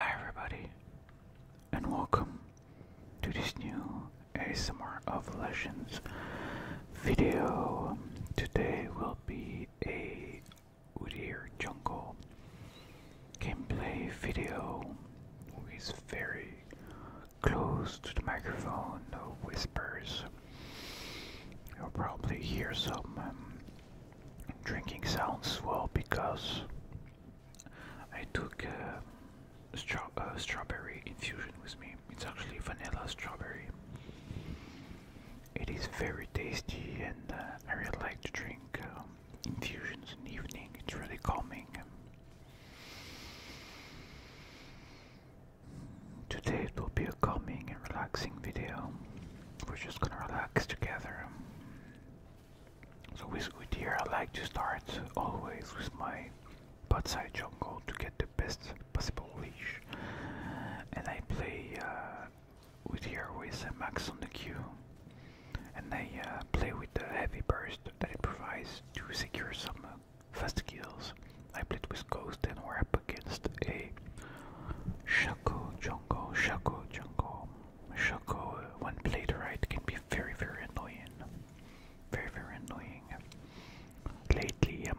Hi everybody, and welcome to this new ASMR of Legends video. Today will be a Udyr Jungle gameplay video who is very close to the microphone, no whispers. You'll probably hear some um, drinking sounds well because I took uh, strawberry infusion with me. It's actually vanilla strawberry. It is very tasty, and uh, I really like to drink um, infusions in the evening. It's really calming. Today it will be a calming and relaxing video. We're just gonna relax together. So with here I like to start always with my Potside jungle to get the best possible leash. And I play uh, with here with uh, a max on the queue. And I uh, play with the heavy burst that it provides to secure some fast kills. I play with Ghost and we're up against a Shaco jungle, Shaco jungle. Shoko, when played right, can be very, very annoying. Very, very annoying. Lately, I'm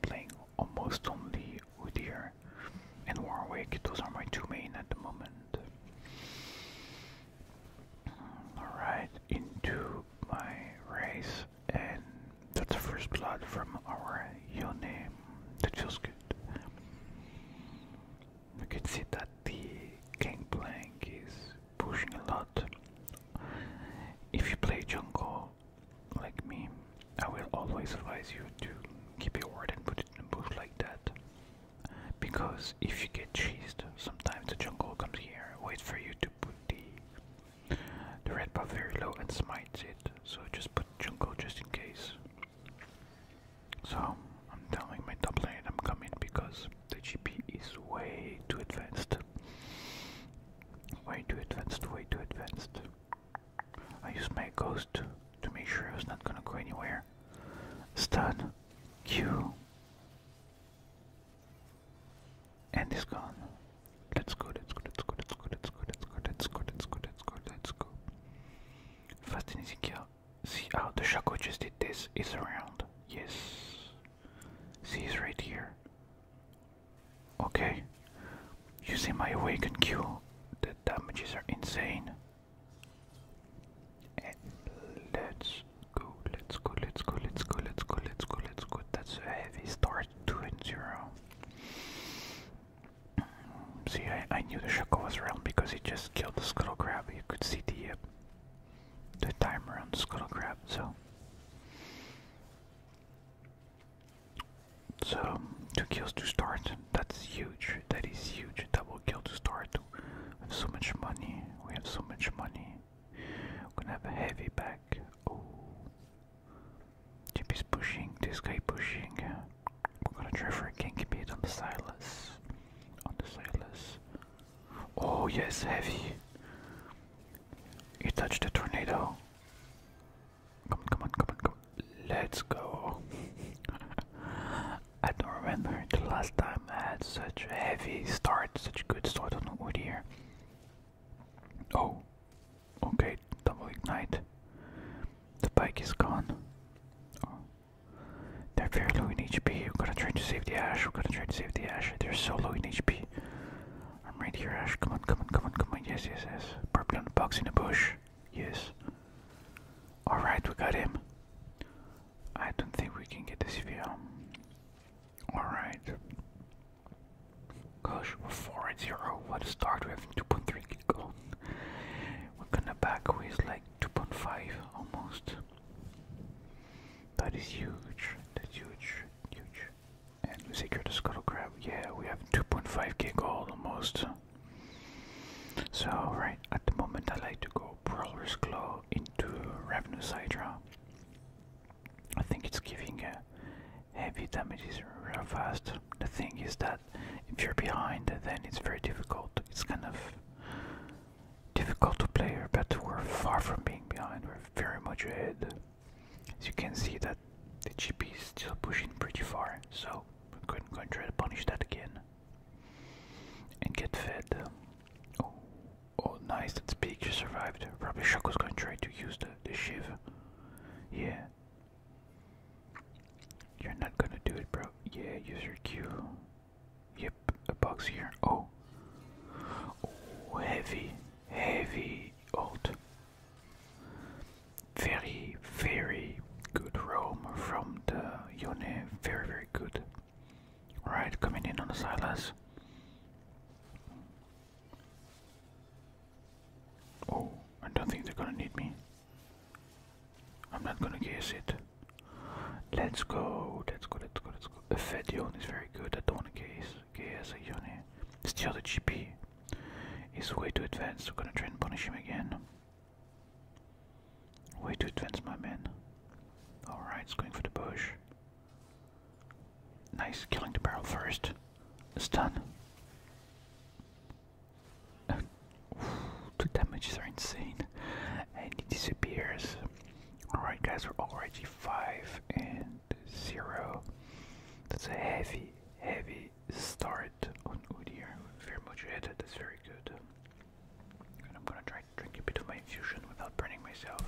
playing almost only Udyr and Warwick. Those are my two main at the moment. Alright, into my race, and that's the first blood from our Yone. That feels good you can see that the Gangplank is pushing a lot. If you play jungle like me, I will always advise you to keep your word and put it in a bush like that. Because if you get cheesed, sometimes the jungle comes here, waits for you to put the the red buff very low and smites it. So just put jungle just in case. So I'm telling my top lane I'm coming because the GP is way too advanced. Way too advanced, way too advanced. I used my ghost to make sure I was not gonna go anywhere. Stun, Q, and it's gone. Let's go, let's go, let's go, let's go, let's go, let's go, let's go, let's go, let's go, let's go. Fascinating kill. See how oh, the Shaco just did this is around. Yes. See he's right here. Okay. Using my awaken Q. The damages are insane. And let's go, let's go, let's go, let's go, let's go, let's go, let's go. That's a heavy start, 2 and 0. See, I, knew the Shuckle was around because he just killed the Scuttle Crab. You could see the, uh, the timer on the Scuttle Crab, so. So, two kills to start. That's huge. That is huge. Double kill to start. We have so much money. We have so much money. We're gonna have a heavy back. Oh. Chip is pushing. This guy pushing. I'm gonna try for a king beat on the Silas. On the Silas. Oh yes, heavy. You touched the tornado. Come on, come on, come on, come on. Let's go. I don't remember the last time I had such a heavy start, such a good start on wood here. Oh. Okay, double ignite. The bike is gone. Oh. They're very low in HP. We're gonna try to save the Ash. We're gonna try to save the Ash. They're so low in HP. I'm right here, Ash. Come on, come on, come on, come on. Yes, yes, yes. Purple on the box in the bush. Yes. Alright, we got him. I don't think we can get this VL. Alright. Gosh, we What a start. We have 2.3 gold. Wakanda back weighs like 2.5 almost. That is huge. That's huge. Huge. And we scuttle crab. Yeah, we have 2.5k gold almost. So right at the moment I like to go Prowler's Claw into Ravenous Hydra. I think it's giving heavy damages real fast the thing is that if you're behind, then it's very difficult. It's kind of difficult to play here, but we're far from being behind. We're very much ahead. As you can see that the GP is still pushing pretty far, so we're going, to try to punish that again. And get fed. Oh, oh nice, that's big, just survived. Probably Shaco's going to try to use the, the Shiv. Yeah, you're not gonna do it, bro. Yeah, use your Q. Yep, a box here. Oh. Oh, heavy, heavy old. Very, very good roam from the Yone. Very, very good. Right, coming in on the Silas. Oh, I don't think they're gonna need me. I'm not gonna guess it. Let's go, let's go, let's go, let's go. A fat yon is very good, I don't wanna guess. Guess a yoni. Steal the GP. He's way too advanced, we're gonna try and punish him again. Way too advanced, my man. Alright, it's going for the bush. Nice, killing the barrel first. Stun the damages are insane. And he disappears. Alright guys, we're already 5 and 0. That's a heavy, heavy start on Udir. Very much ahead, that's very good. And I'm gonna try to drink a bit of my infusion without burning myself.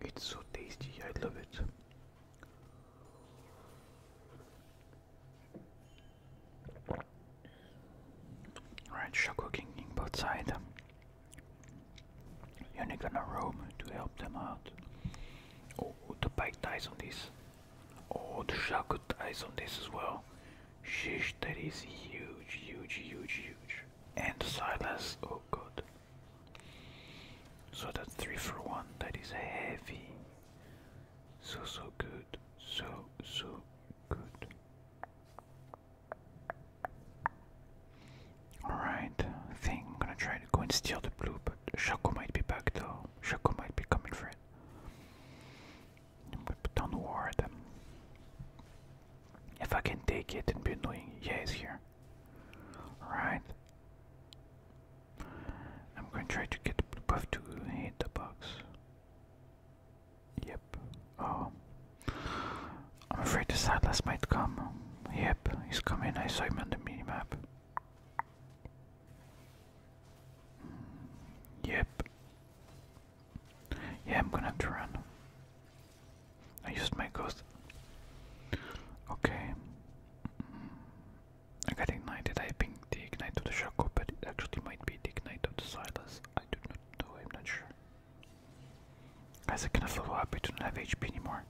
It's so tasty, I love it. Alright, Shoko King both side. You're not gonna roam to help them out. Oh, the pike dies on this. Oh, the Shaco dies on this as well. Shish, that is huge, huge, huge, huge. And Silas, oh god. So that three for one, that is heavy. So, so good, so, so good. Alright, I gonna try to go and steal the blue, but Shaco might be back though. Shaco might be coming for it. We've done war at them. If I can take it and be doing yeah, it's here. Right. I'm going to try to get the buff to hit the box. Yep. Oh. I'm afraid the Sadlas might come. Yep, he's coming. I saw him on the mini map. Yep. Yeah, I'm gonna have to run. I used my ghost. Okay. I got ignited. I pinged the ignite of the Shaco, but it actually might be the ignite of the Silas. I do not know, I'm not sure. Guys, I cannot follow up, I don't have HP anymore.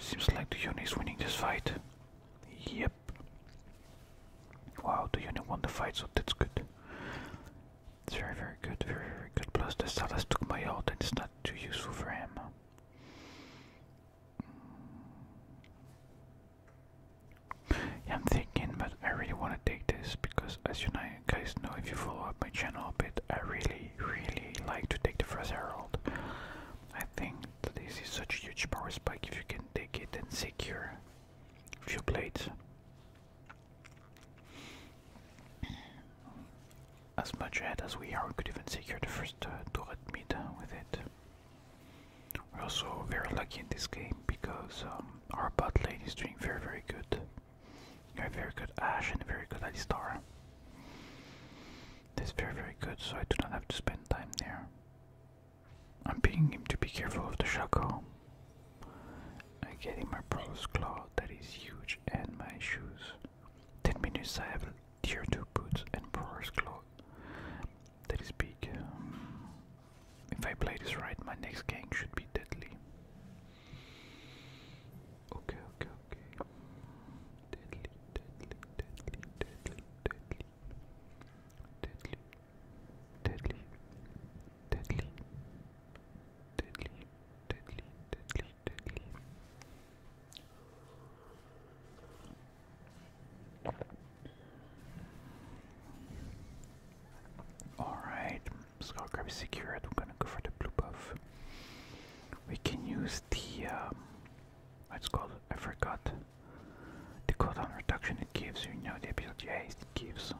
Seems like the Yone is winning this fight. Yep. Wow, the unit won the fight, so that's good. It's very, very good, very, very good. Plus, the Salas took my ult, and it's not too useful for him. I'm thinking, but I really want to take this because, as you guys know, if you follow up my channel a bit, I really, really like to take the first herald. I think this is such a huge power spike if you can take it and secure few plates. As much ahead as we are, we could even secure the first uh, turret mid with it. We're also very lucky in this game because um, our bot lane is doing very, very good. You have very good Ash and very good Alistar. is very, very good, so I do not have to spend time there. I'm begging him to be careful of the shako. I'm getting my brother's claw that is huge and my shoes. Ten minutes I have tier two boots and brother's claw that is big. Um, if I play this right, my next gang should be deadly. Okay, okay, okay. Deadly, deadly, deadly, deadly, deadly, deadly, deadly, deadly, deadly, deadly, deadly, deadly. Alright, Skullcrab is secured. We're gonna go for the blue buff. We can use the um, what's called I forgot the cooldown reduction it gives, you know the ability haste it gives.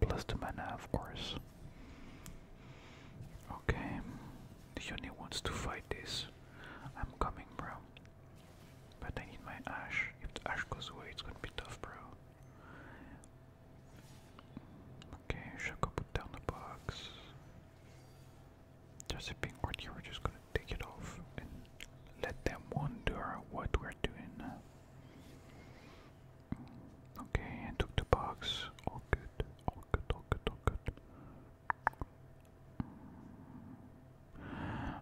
Plus the mana, of course. Okay, the Yoni wants to fight this. I'm coming, bro. But I need my Ash. If the Ash goes away, it's gonna be tough, bro. Okay, Shaco put down the box. Just a pink word here, just gonna take it off and let them wonder what we're doing. Mm, okay, took the box. All good, all good, all good, all good. Mm.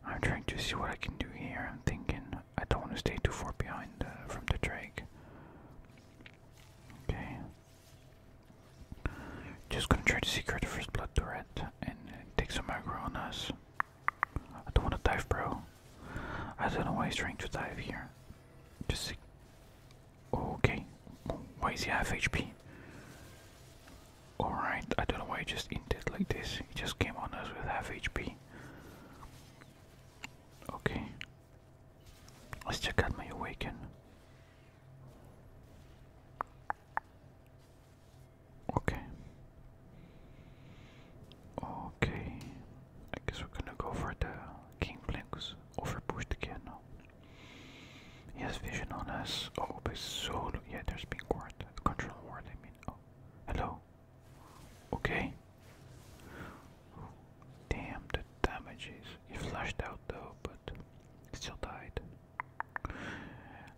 I'm trying to see what I can do here. I'm thinking I don't want to stay too far behind uh, from the drake. Okay. Just gonna try to secure the first blood turret and take some aggro on us. I don't wanna dive, bro. I don't know why he's trying to dive here. Just Okay. Why is he half HP? Alright, I don't know why he just inted like this. He just came on us with half HP. Okay. Let's check out my awaken. Okay. Okay. I guess we're gonna go for the King Blinks. Overpushed again. He has vision on us. Oh, but so yeah, there's being ward. Control ward, I mean. Oh, hello. Okay. Damn the damages. He flashed out though, but still died.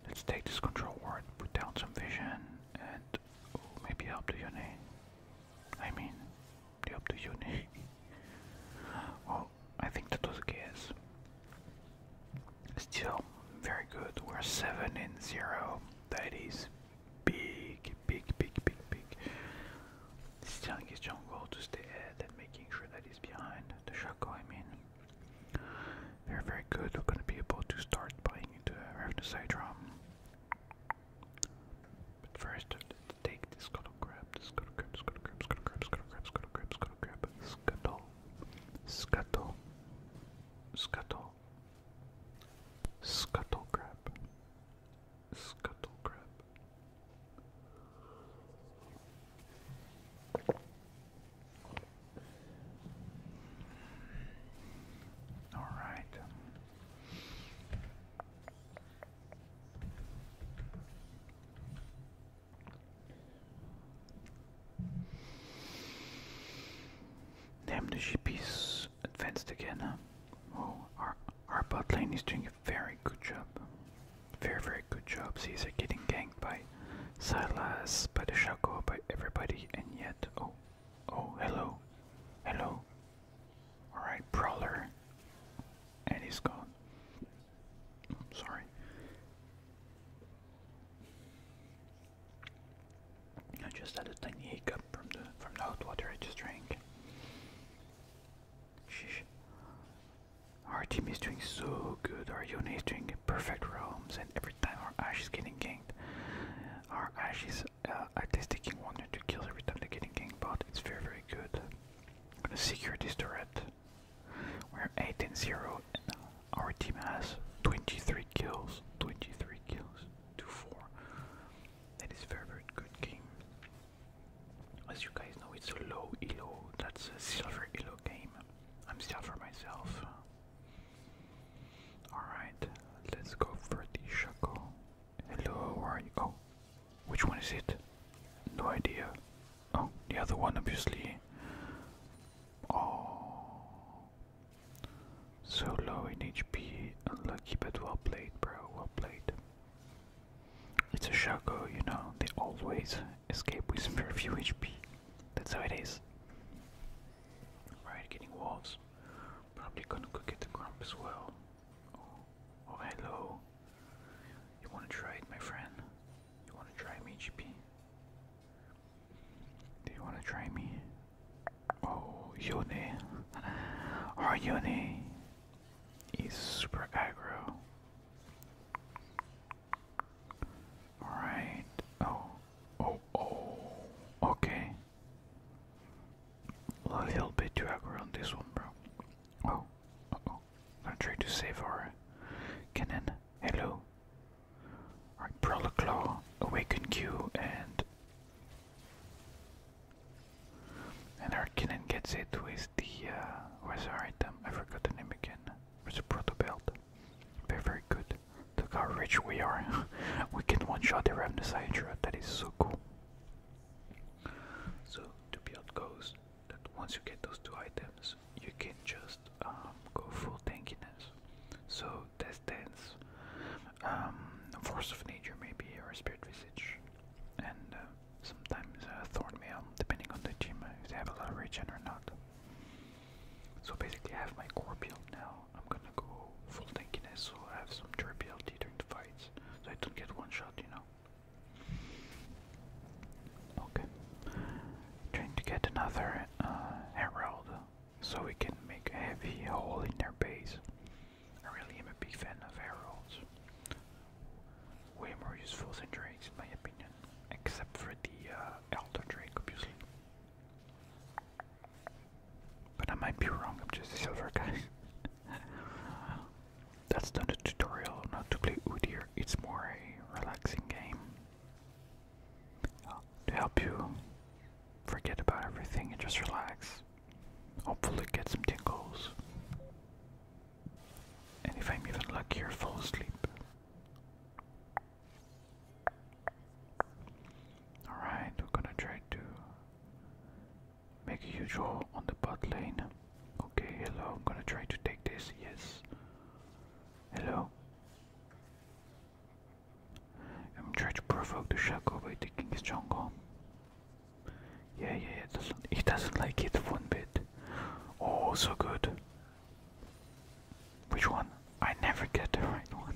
Let's take this control ward, put down some vision, and maybe help the uni. I mean, help the uni. Oh, I think that was a guess. Still, very good. We're 7 in 0. That is big, big, big, big, big. This is telling his jungle to stay ahead and making sure that he's behind the Shaco, I mean they very good. We're going to be able to start buying into Revenue uh, Sidrum. But first, let's take this scuttle scuttle scuttle scuttle crab, scuttle crab, scuttle crab, scuttle crab, scuttle, scuttle, scuttle, scuttle crab, scuttle crab. All right. Damn, the ship advanced again. Oh, our, our bot lane is doing a very good job. Very, very good These are getting ganked by Salas, by the Shaco, by everybody, and yet. Oh, oh, hello. Hello. Alright, Brawler. And he's gone. Sorry. I just had a tiny hiccup from the from the hot water I just drank. Sheesh. Our team is doing so good. Our Yone is doing perfect realms, and every time our Ash is getting ganked, our Ash is uh, at least taking one or two kills every time they're getting ganked, but it's very, very good. I'm gonna secure this turret. We're 8 and 0, and our team has 23 kills. 23 kills to 4. That is very, very good game. As you guys know, it's a low elo, that's a silver elo game. I'm still for myself. Alright, let's go for the shuckle. Hello, where are you? Oh, which one is it? No idea. Oh, the other one, obviously. Oh. So low in HP. Unlucky, but well played, bro. Well played. It's a Shaco, you know, they always escape with very few HP. That's how it is. Right, getting wolves. Probably gonna go get the grump as well. Oh, oh, hello. You wanna try it, my friend? You wanna try me, GP? Do you wanna try me? Oh, Yone. Our oh, Yone is super aggro. Alright. Oh. Oh, oh. Okay. A little bit too on this one, bro. Oh. oh. Gonna try to save our cannon. Hello. Alright, Brawler Claw, Awaken Q, and. And our cannon gets it with the uh, where's our item? I forgot the name again. Where's a proto belt? Very very good. Look how rich we are. we can one shot the Ravenous Hydra. That is so cool. So to build goes that once you get those two items, you can just um, go full tankiness. So death dance, um, force of nature maybe, or spirit visage, and um, sometimes uh, Thornmail, depending on the team, uh, if they have a lot of regen or not. So basically, I have my core build now. I'm gonna go full tankiness, so I have some durability during the fights, so I don't get one shot, you know. Okay, trying to get another uh, herald, so we can make a heavy hole in their base. I really am a big fan of heralds way more useful than drinks, in my opinion, except for the uh, elder drake obviously. But I might be wrong, I'm just a silver guy. That's not a tutorial not to play Udyr, it's more a relaxing game to help you forget about everything and just relax. Hopefully, get some tingles. And if I'm even luckier, fall asleep. Alright, we're gonna try to make a huge hole on the bot lane. Okay, hello, I'm gonna try to take this, yes. Hello. I'm trying to provoke the Shaco by taking his jungle. Yeah, yeah, it Doesn't, he doesn't like it one bit. Oh, so good. Which one? I never get the right one.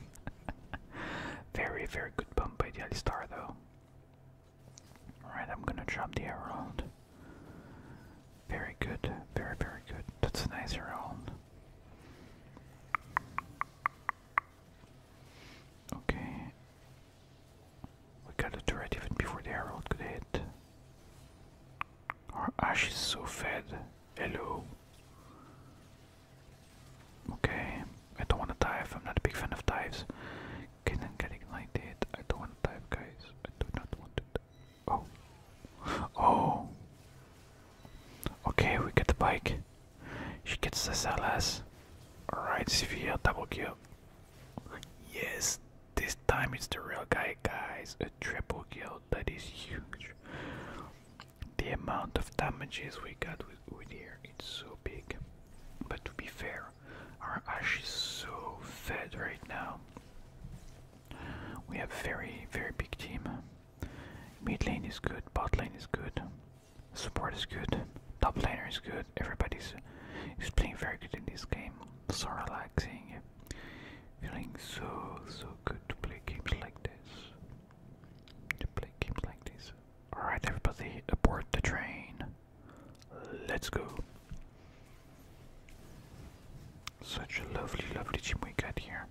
very, very good bump by the Star, though. Alright, I'm gonna drop the Herald. Very good, very, very good. That's a nice Herald. Okay, we got a turret even before the herald could hit. Our Ash is so fed. Hello. Okay, I don't want to dive. I'm not a big fan of dives. Okay, then get ignited. I don't want to dive, guys. I do not want to. Oh. Oh. Okay, we get the bike. She gets the LS. Alright, severe double kill. Yes, this time it's the real guy, guys. A triple kill that is huge. The amount of damages we got with, here it's so big. But to be fair, our Ash is so fed right now. We have very very big team. Mid lane is good, bot lane is good, support is good, top laner is good. Everybody's is playing very good in this game. So relaxing. Feeling so so good to play games like this. To play games like this. Alright everybody, aboard the train. Let's go. Such a lovely, lovely team we got here.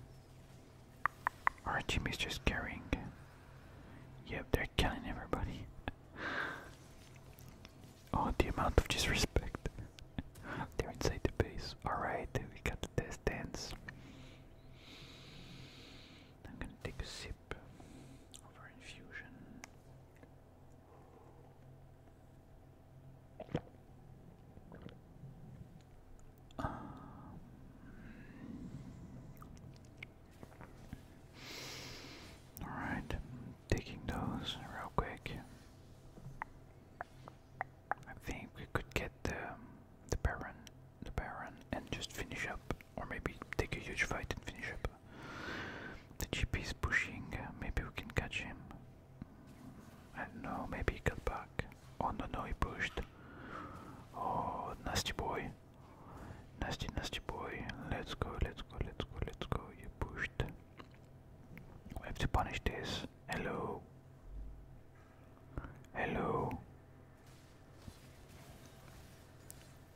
Our team is just carrying. Yep, they're killing everybody. Oh, the amount of disrespect. They're inside the base. Alright, we got the test dance. I'm gonna take a sip of our infusion. Um, Alright, taking those real quick. I think we could get the the Baron the Baron and just finish up. Or maybe take a huge fight and finish up. The GP is pushing, maybe we can catch him. I don't know, maybe he got back. Oh no no he pushed. Oh nasty boy. Nasty, nasty boy. Let's go, let's go, let's go, let's go. You pushed. We have to punish this. Hello. Hello.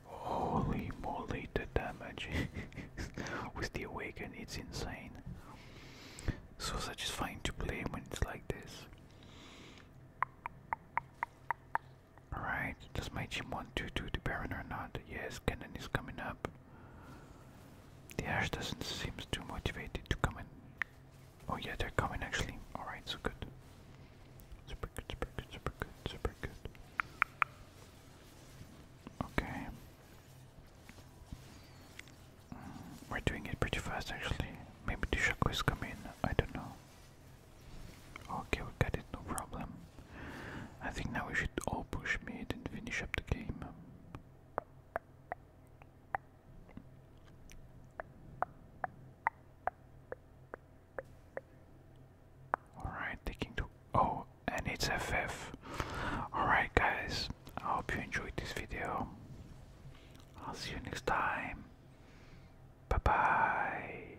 Holy moly, the damage with the awaken, it's insane. So satisfying to play when it's like this. Alright, does my team want to do the Baron or not? Yes, Cannon is coming up. The Ash doesn't seem too motivated to come in. Oh yeah, they're coming actually. Alright, so good. Super good, super good, super good, super good. Okay. Mm, we're doing it pretty fast actually. Maybe the Shaco is coming, I don't know. Okay, we got it, no problem. I think now we should all push mid and finish up the game. Alright, taking to. Oh, and it's FF. Alright, guys, I hope you enjoyed this video. I'll see you next time. Bye bye.